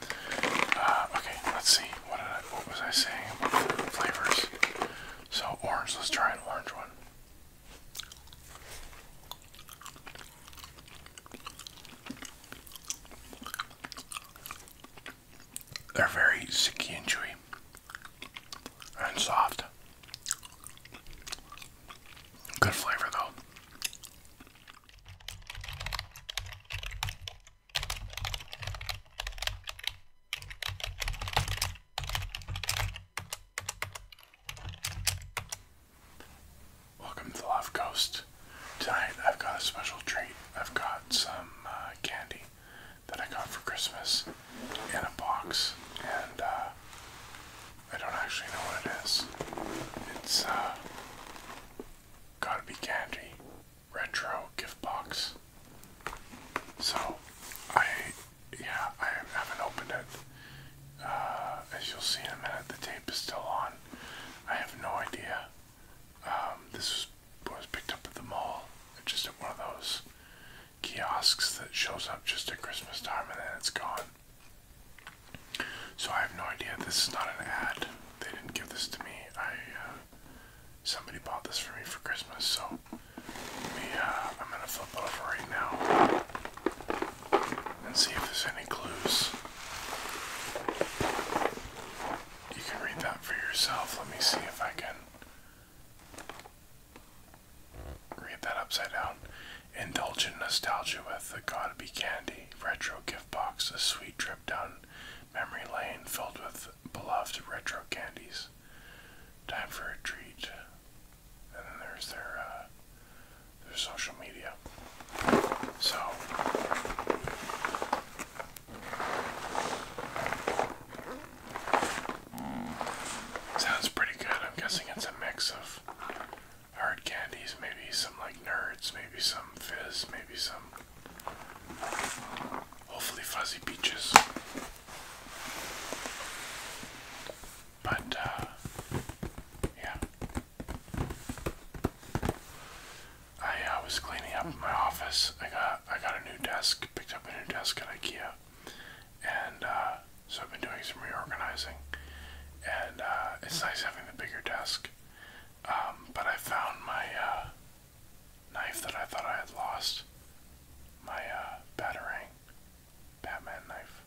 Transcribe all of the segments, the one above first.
Uh, okay, let's see. What what was I saying about flavors? So orange. Let's try an orange one. They're very sticky and chewy and soft. Good flavor though. Welcome to Love Coast. Tonight I've got a special treat. I've got some uh, candy that I got for Christmas in a box, and uh, I don't actually know what it is. It's uh, gotta be candy, retro gift box. So, I, yeah, I haven't opened it. Uh, as you'll see in a minute, the tape is still on. I have no idea. Um, this was, was picked up at the mall, just at one of those kiosks that shows up just at Christmas time and then it's gone. So I have no idea. This is not an ad they didn't give this to me. I uh, somebody bought this for me for Christmas, so uh, I'm gonna flip it over right now and see if there's any clues. You can read that for yourself. Let me see if I can read that upside down. Indulge in nostalgia with the Gotta Be Candy retro gift box, a sweet trip down memory lane filled with beloved retro candies. Time for a treat. And then there's their uh, their social media. So sounds pretty good. I'm guessing it's a mix of hard candies, maybe some like nerds, maybe some fizz, maybe some Hopefully, fuzzy peaches. But, uh, yeah. I uh, was cleaning up my office. I got I got a new desk, picked up a new desk at IKEA, and uh, so I've been doing some reorganizing. And uh, it's nice having the bigger desk. Um, but I found my uh, knife that I thought I had lost. My uh, Batarang Batman knife.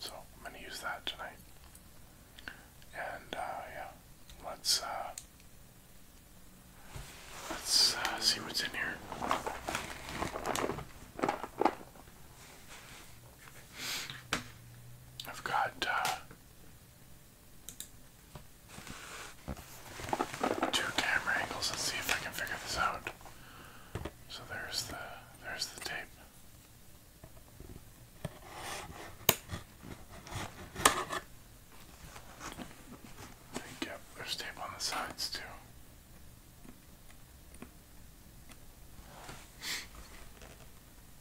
So I'm going to use that tonight. And uh, yeah, let's, uh, let's see what's in here. I've got two camera angles. Let's see if I can figure this out. So there's the there's the tape. yep, there's tape on the sides too.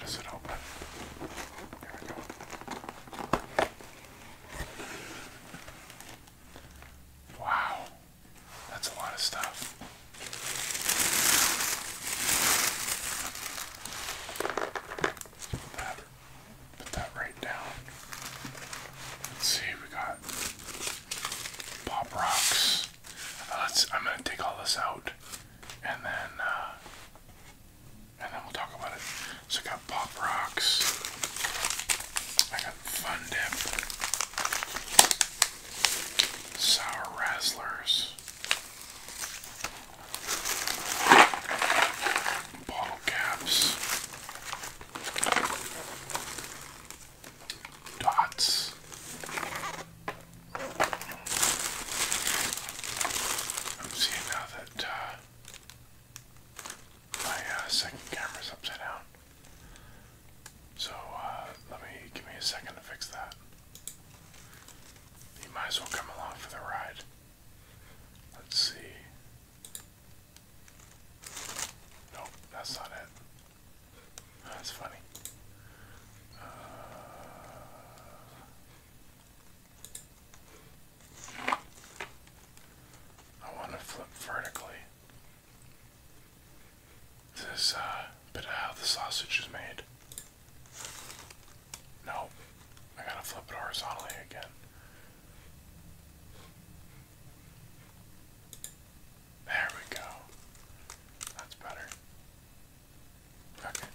does it open? There we go. Wow, that's a lot of stuff. Put that, put that right down. Let's see, we got pop rocks. Uh, let's. I'm gonna take all this out, and then uh, and then we'll talk about it. So I got Pop Rocks, I got Fun Dip, Sour Razzlers, Bottle Caps, Dots. I'm seeing now that uh, uh, my uh, second camera's upside down. So uh, let me give me a second to fix that. You might as well come along for the ride. Let's see. Nope, that's not it. That's funny. Uh, I want to flip vertically. This is uh, bit of how the sausage is made. No, I gotta flip it horizontally again. There we go. That's better. Okay.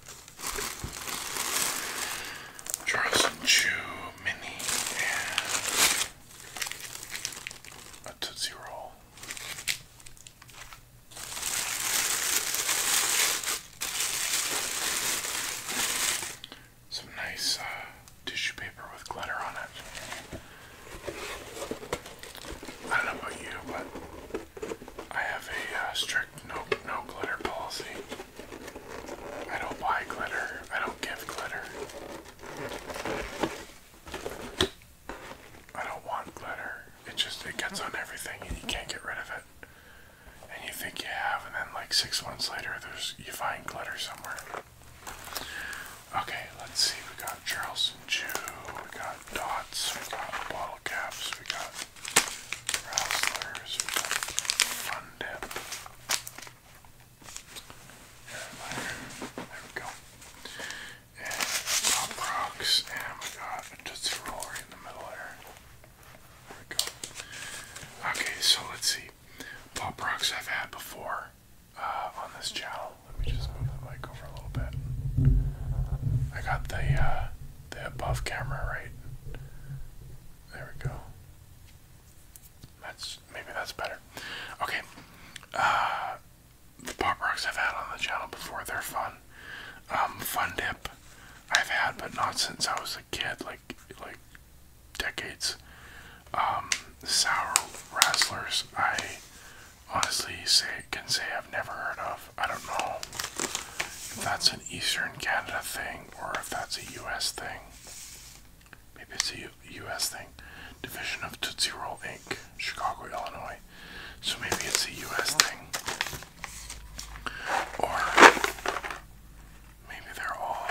Chew Mini a Tootsie Roll. Some nice uh, tissue paper with glitter on it. I don't know about you, but I have a uh, strict no no glitter policy. I don't buy glitter. I don't give glitter. I don't want glitter. It just it gets on everything and you can't get rid of it. And you think you have, and then like six months later, there's you find glitter somewhere. Okay, let's see. We got Charles and We got dots. We got bottle caps. We got Razzlers, we got Fun Dip. And there we go. And Pop Rocks, and we got a Tootsie Roller in the middle there. There we go. Okay, so let's see. Pop Rocks I've had before uh, on this channel. Let me just move the mic over a little bit. I got the, uh, the above camera right. There we go. That's maybe that's better. Okay. Uh, pop rocks I've had on the channel before, they're fun. Um, fun dip I've had, but not since I was a kid, like like decades. Um, sour wrestlers I honestly say can say I've never heard of. I don't know if that's an Eastern Canada thing or if that's a U.S. thing. Maybe it's a U.S. thing. Division of Tootsie Roll Inc., Chicago, Illinois. So maybe it's a U.S. thing. Or maybe they're all.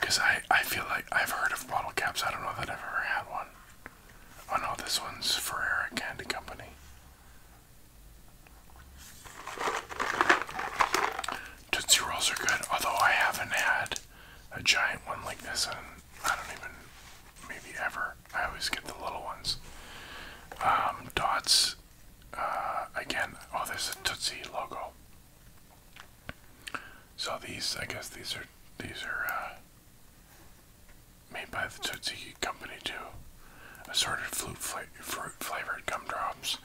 Because I, I feel like I've heard of bottle caps. I don't know that I've ever had one. Oh no, this one's Ferrera Candy Company. Tootsie Rolls are good, although I haven't had a giant one like this, and I don't even, maybe ever. I always get the little ones. Um, dots, uh, again, oh, there's a Tootsie logo. So these, I guess these are, these are, uh, Made by the Totsuki Company too. Assorted fruit, flavored gumdrops.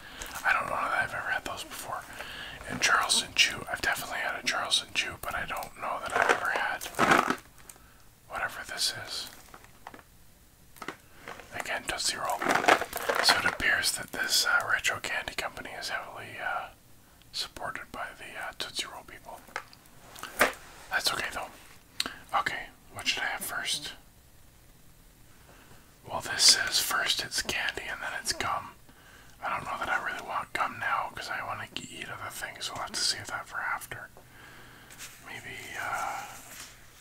I don't know that I've ever had those before. And Charleston Chew. I've definitely had a Charleston Chew, but I don't know that I've ever had whatever this is. Again, Tootsie Roll. So it appears that this uh, retro candy company is heavily uh, supported by the uh, Tootsie Roll people. That's okay though. Okay, what should I have first? Well, this says first it's candy and then it's gum. I don't know that I really want gum now because I want to eat other things, so we'll have to save that for after. Maybe, uh,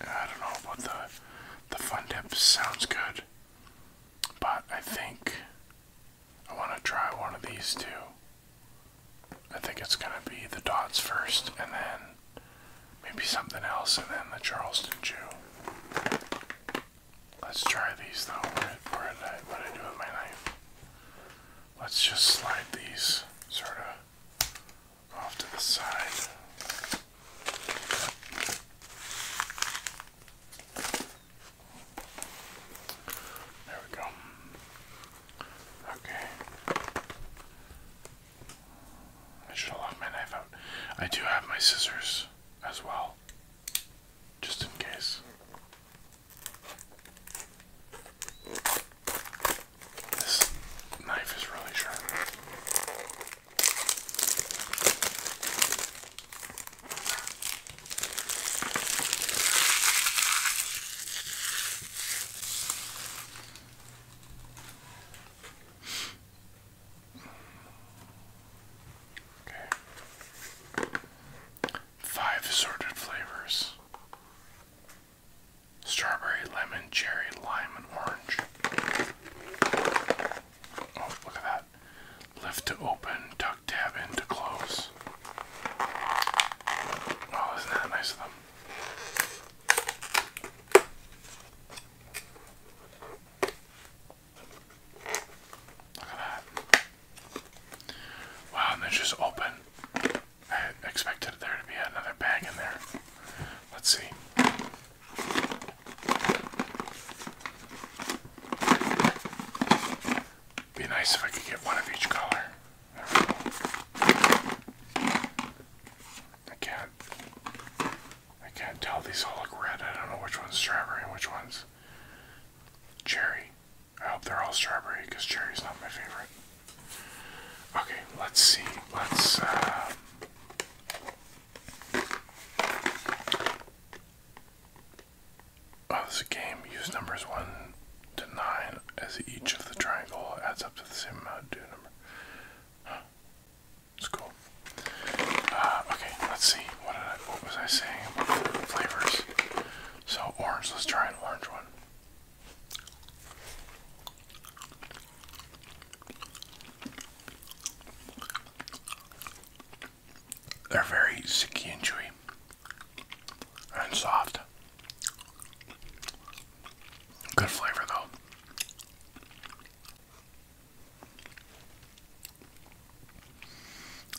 I don't know about the, the fun dip sounds good, but I think I want to try one of these two. I think it's going to be the dots first, and then maybe something else, and then the Charleston Chew. Let's try these though. Where, I, what did I do with my knife? Let's just slide these sort of off to the side. There we go. Okay. I should have my knife out. I do have my scissors as well, just in case. This knife is really sharp. Five assorted flavors strawberry, lemon, cherry, lime, and orange. Oh, look at that. Lift to open, tuck tab in to close. Oh, isn't that nice of them? Look at that. Wow, and there's just open. I expected there to be another bag in there. Let's see. Be nice if I could get one of each color. I can't. I can't tell. These all look red. I don't know which one's strawberry and which one's cherry. I hope they're all strawberry because cherry's not my favorite. Okay, let's see. Let's. Uh, oh, this game. Use numbers 1 to 9 as each of the triangle adds up to the same amount due number. It's cool. Uh, okay, let's see. What did I, what was I saying flavors? So orange. Let's try an orange one. They're very sicky and chewy and soft. Good flavor though.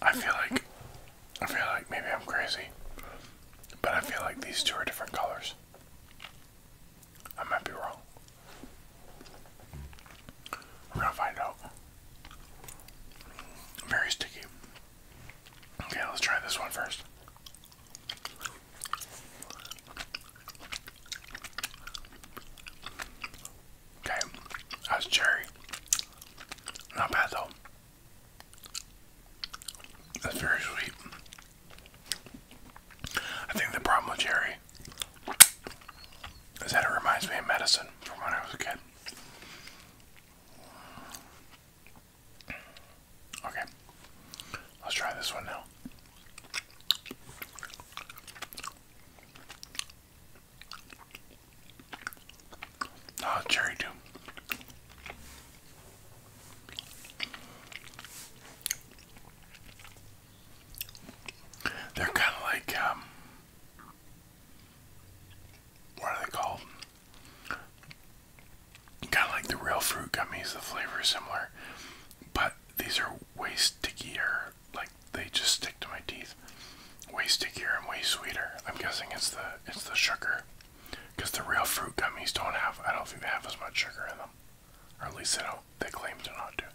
I feel like I feel like maybe I'm crazy, but I feel like these two are different colors. I might be wrong. We're gonna find out. Very sticky. Okay, let's try this one first. Okay, that's cherry. Not bad though. That's very sweet. I think the problem with cherry is that it reminds me of medicine from when I was a kid. Okay, let's try this one now. Oh, cherry too. They're kind of like, um, what are they called? Kind of like the real fruit gummies, the flavor is similar, but these are way stickier. Like they just stick to my teeth. Way stickier and way sweeter. I'm guessing it's the it's the sugar, because the real fruit gummies don't have. I don't think they have as much sugar in them, or at least they don't. They claim to not do.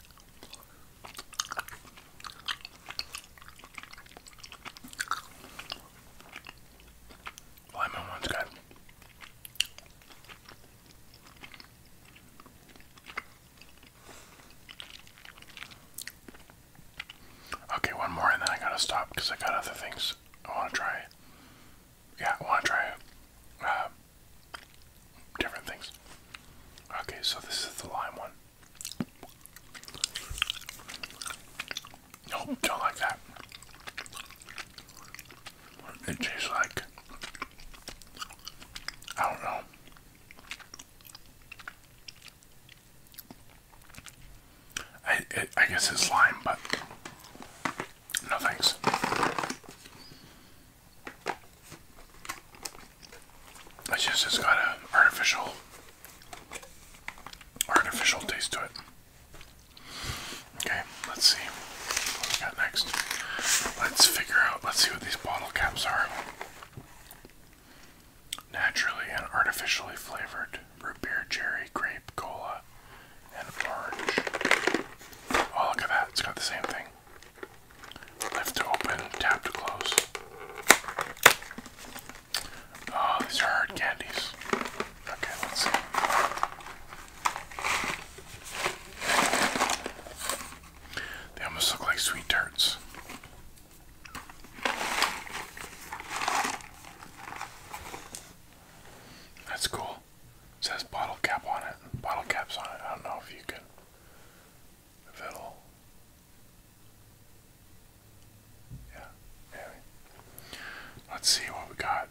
Lemon one's good. Okay, one more and then I gotta stop because I got other things I want to try. Yeah, want to try uh, different things. Okay, so this is the lime one. Nope, don't like that. It tastes like I don't know. I I guess it's lime, but no thanks. It's just has got an artificial artificial taste to it. Okay, let's see what we got next. Let's figure out, let's see what these bottle caps are. Naturally and artificially flavored root beer, cherry, grape, cola, and orange. Oh, look at that, it's got the same thing. Lift to open, tap to close. Oh, these are hard candies. Okay, let's see. They almost look like sweet tarts. That's cool. says bottle cap on it. Bottle caps on it. I don't know if you can. If it'll. Yeah. Let's see what we got.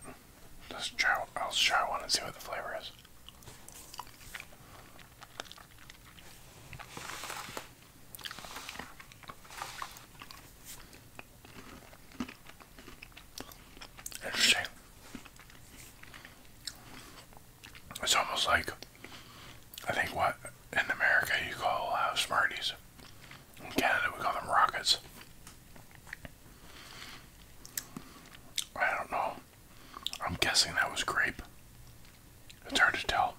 Just try, I'll try one and see what the flavor is. Interesting. It's almost like, I think what in America you call uh, Smarties. In Canada we call them rockets. I don't know. I'm guessing that was grape. It's hard to tell.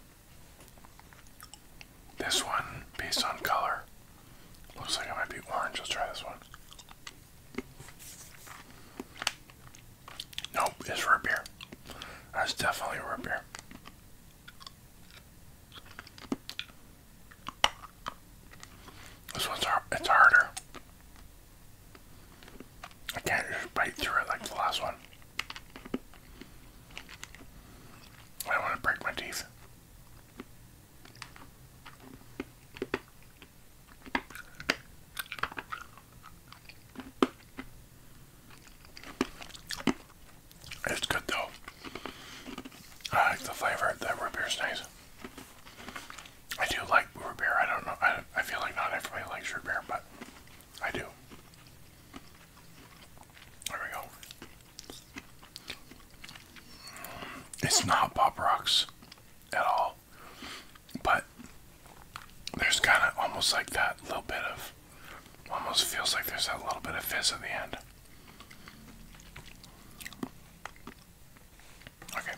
This one, based on color, looks like it might be orange. Let's try this one. Nope, it's root beer. That's definitely root beer. This one's hard, it's harder. I can't just bite through it like the last one. I don't want to break my teeth. It's good though. I like the flavor. That root beer's nice. I do like root beer. I don't know. I, I feel like not everybody likes root beer, but I do. There we go. It's not Pop Rocks at all, but there's kind of almost like that little bit of, almost feels like there's that little bit of fizz at the end. Okay,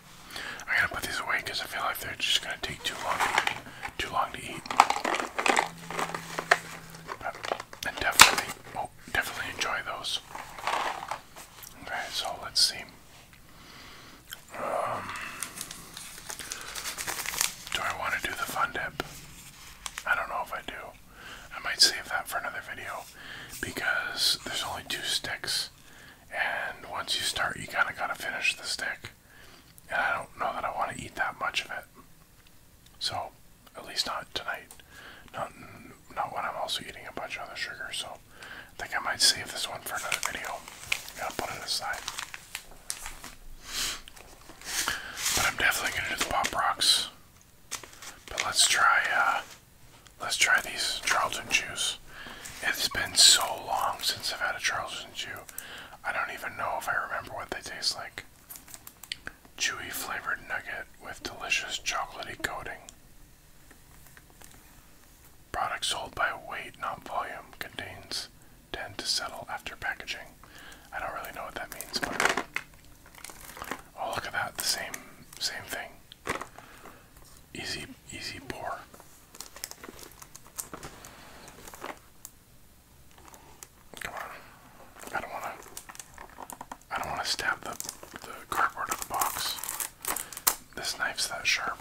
I gotta put these away because I feel like they're just gonna take too long, to, too long to eat. definitely, oh, definitely enjoy those. Okay, so let's see. Um, do I want to do the fun dip? I don't know if I do. I might save that for another video because there's only two sticks, and once you start, you kind of got to finish the stick. And I don't know that I want to eat that much of it. So, at least not tonight. Not not when I'm also eating a bunch of other sugar. So, I think I might save this one for another video. I'm to put it aside. But I'm definitely gonna do the pop rocks. But let's try. Uh, Let's try these Charlton Chews. It's been so long since I've had a Charlton Chew. I don't even know if I remember what they taste like. Chewy flavored nugget with delicious chocolaty coating. Product sold by weight, not volume, contains tend to settle after packaging. I don't really know what that means, but Oh look at that, the same same thing. Easy easy pour. Come on. I don't wanna I don't wanna stab the the cardboard box. This knife's that sharp.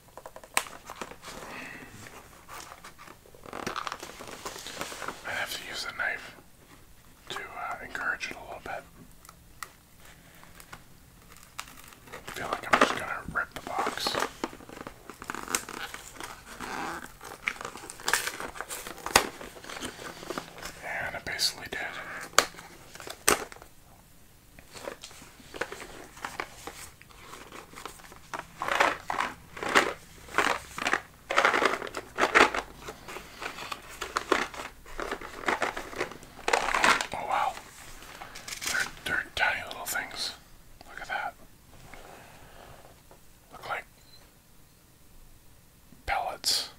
I have to use the knife to uh, encourage it a little bit. I feel like I'm just gonna rip the box. And I basically did. Oh wow. They're, they're tiny little things. Look at that. Look like pellets,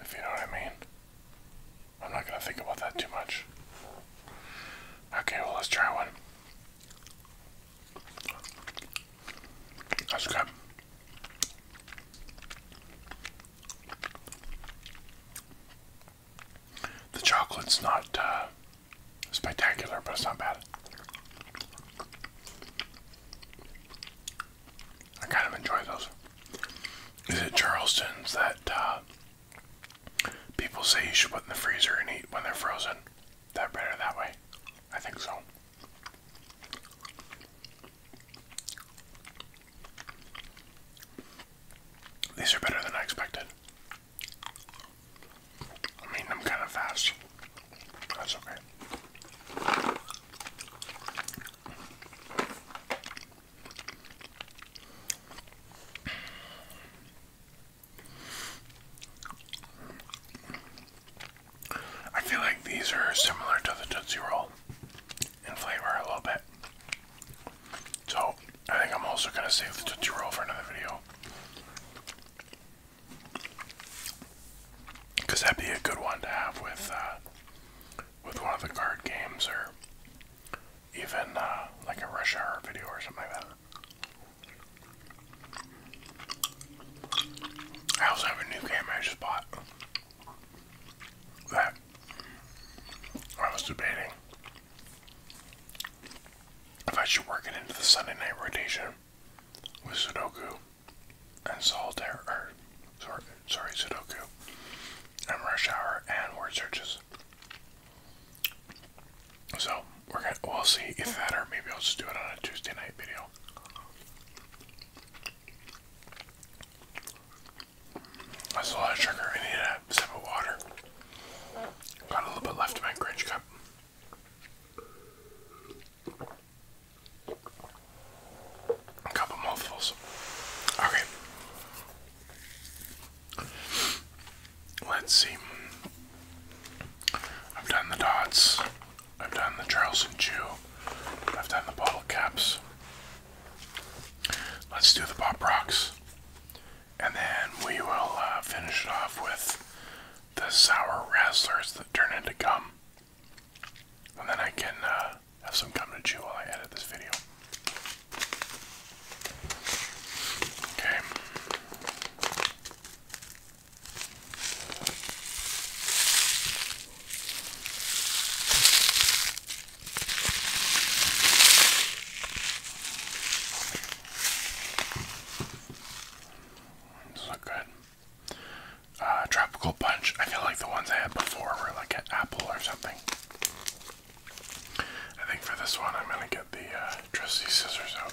if you know what I mean. I'm not gonna think about that too much. Okay, well, let's try one. That's good. The chocolate's not uh, spectacular, but it's not bad. I kind of enjoy those. Is it Charleston's that uh, people say you should put in the freezer and eat when they're frozen? they better that way. I think so. These are better than I expected. I mean, I'm kind of fast. That's okay. I feel like these are similar to the Tootsie Roll in flavor a little bit. So, I think I'm also going to save the Tootsie Roll for another video. Because that'd be a good one to have with, uh, with one of the card games or even uh, like a rush hour video or something like that. I also have a new camera I just bought that I was debating if I should work it into the Sunday night rotation with Sudoku and Solitaire, or sorry Sudoku and Rush Hour and Word Searches. So we're gonna we'll see if that or maybe I'll just do it on a Tuesday night video. That's a lot of sugar. I need a sip of water. Got a little bit left in my Grinch cup. A couple mouthfuls. Okay. Let's see. I've done the dots. I've done the Charles Chew. I've done the bottle caps. Let's do the pop rocks. And then we will uh, finish it off with the sour razzlers that turn into gum. And then I can uh, have some gum to chew while I edit this video. Okay look good. Uh, tropical punch. I feel like the ones I had before were like an apple or something. I think for this one, I'm gonna get the uh, trusty scissors out.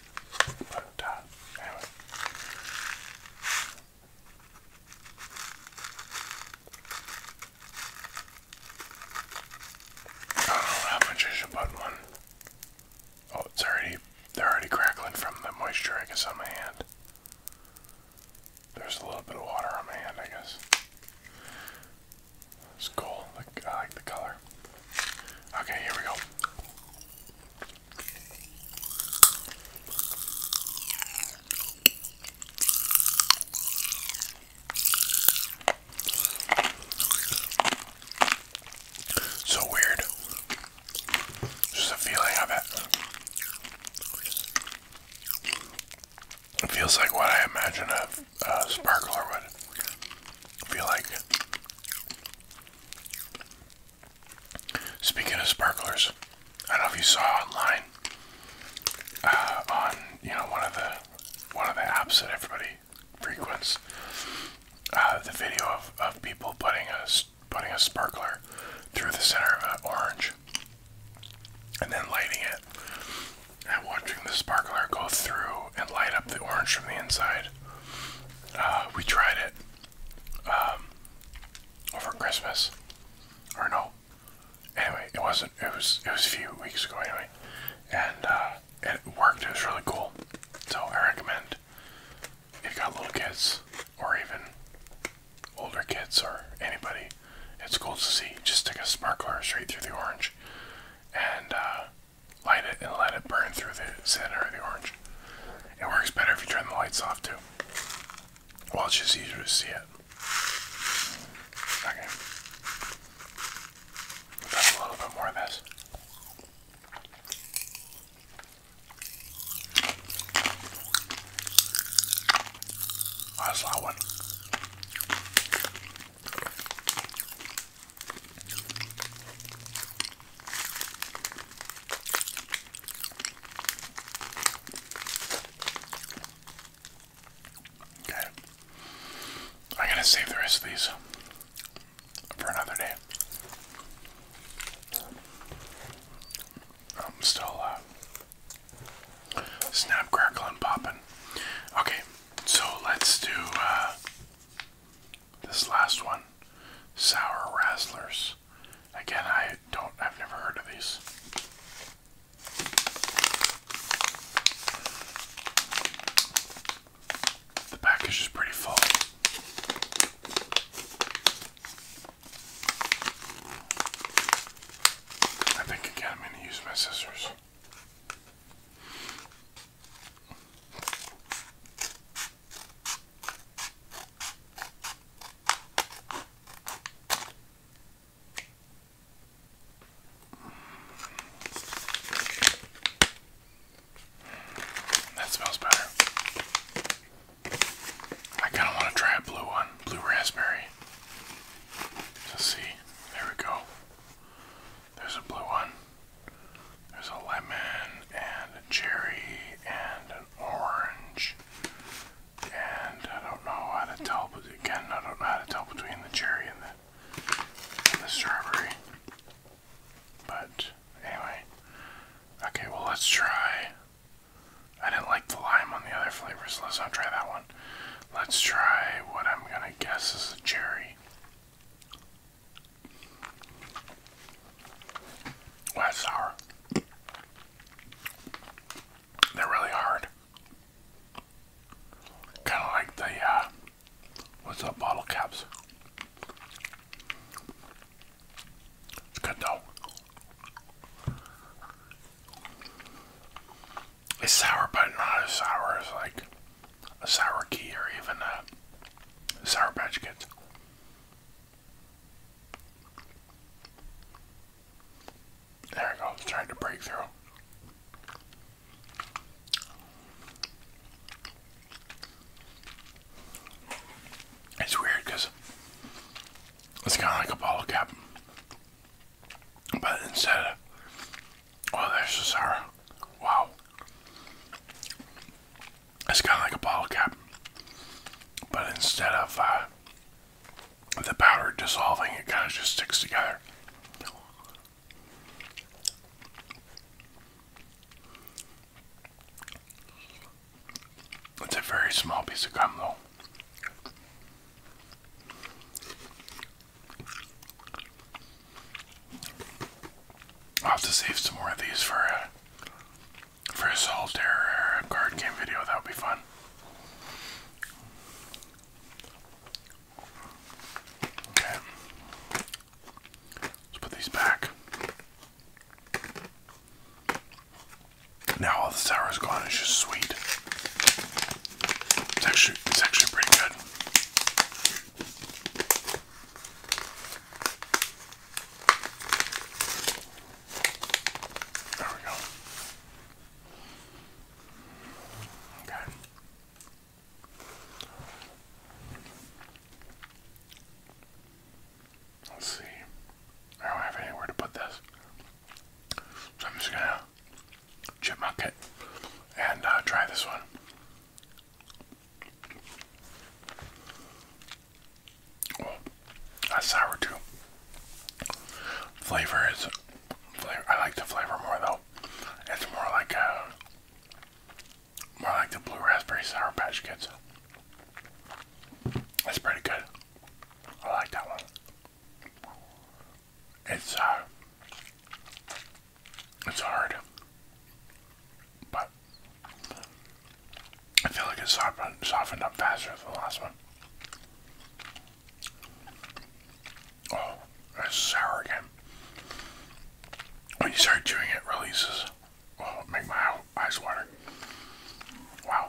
But oh, how much I should put one. Oh, it's already, they're already crackling from the moisture, I guess, on my hand. There's a little bit of water on my hand, I guess. It's cool. I like the color. Okay, here we go. So weird. Just a feeling of it. It feels like what I imagine a sparkler would feel like. Speaking of sparklers, I don't know if you saw online uh, on you know one of the one of the apps that everybody frequents uh, the video of, of people putting a putting a sparkler through the center of an orange and then lighting it and watching the sparkler go through and light up the orange from the inside. Uh, we tried it um, over Christmas, or no? Anyway, it wasn't. It was. It was a few weeks ago anyway, and uh, it worked. It was really cool. So I recommend if you got little kids or even older kids or anybody, it's cool to see. Just stick a sparkler straight through the orange, and uh, light it and let it burn through the center of the orange. It works better if you turn the lights off too. Well, it's just easier to see it. Okay. a little bit more of this. Oh, that's one. Okay. I'm to save the rest of these for another day. I'm still uh, and popping. Okay, so let's do uh, this last one, Sour Razzlers. Again, I don't, I've never heard of these. The package is pretty full. I think again I'm going to use my scissors. That smells better. I kind of want to try a blue one, blue raspberry. Let's see. There we go. There's a blue one. There's a lemon and a cherry and an orange. And I don't know how to tell, but again, I don't know how to tell between the cherry and the, the strawberry. But anyway, okay, well, let's try. I didn't like the lime on the other flavors, let's not try that one. Let's try what I'm gonna guess is a cherry. Wow, sour. They're really hard. Kind of like the, uh, what's that bottle caps. It's good though. It's sour, but not as sour as like a sour key or even a sour patch kids. There we go, trying to break through. It's weird because it's kind of like a bottle cap, but instead oh, there's the sour. Wow. It's kind of like a bottle cap, but instead of uh, the powder dissolving, it kind of just sticks together. It's a very small piece of gum, though. I'll have to save some more of these for a for a solitaire or card game video. That would be fun. Okay, let's put these back. Now all the sour is gone. It's just sweet. It's actually it's actually pretty good. There we go. Okay. Let's see. I don't have anywhere to put this. So I'm just gonna chipmunk it and uh, try this one. Oh, that's sour too. Flavor is flavor. I like the flavor more though. It's more like a more like the blue raspberry sour patch kids. That's pretty good. I like that one. It's uh it's hard. But I feel like it softened, up faster than the last one. Oh, it's sour again. When you start chewing it, releases. Oh, make my eyes water. Wow.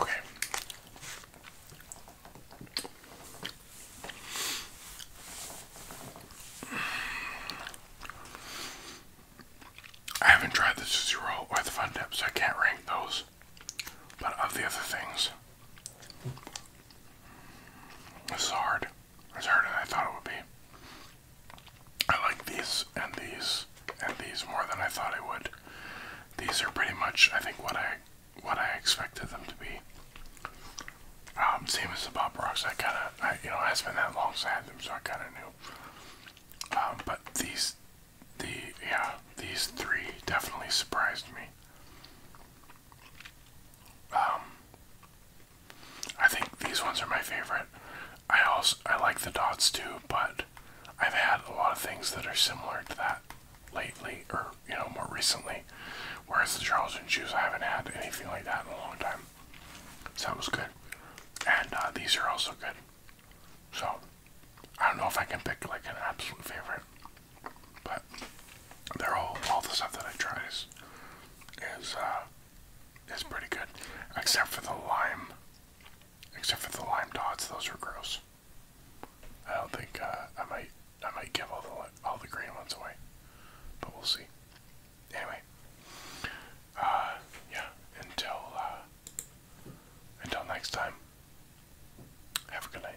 Okay. I haven't tried the Susie Roll or the Fun Dips, so I can't rank those. But of the other things, this is hard. It's harder than I thought it would be. I like these and these and these more than I thought I would. These are pretty much, I think, what I what I expected them to be. Um, same as the Bob Rocks. I kind of, I, you know, it has been that long since so I had them, so I kind of knew. Um, but these, the yeah, these three definitely surprised me. Um, I think these ones are my favorite. I also I like the dots too, but I've had a lot of things that are similar to that lately, or you know, more recently. Whereas the Charles and shoes, I haven't had anything like that in a long time. So that was good, and uh, these are also good. So I don't know if I can pick like an absolute favorite, but they're all all the stuff that I tried is is uh, is pretty good, except for the lime Except for the lime dots, those are gross. I don't think uh, I might I might give all the all the green ones away, but we'll see. Anyway, uh, yeah. Until uh, until next time. Have a good night.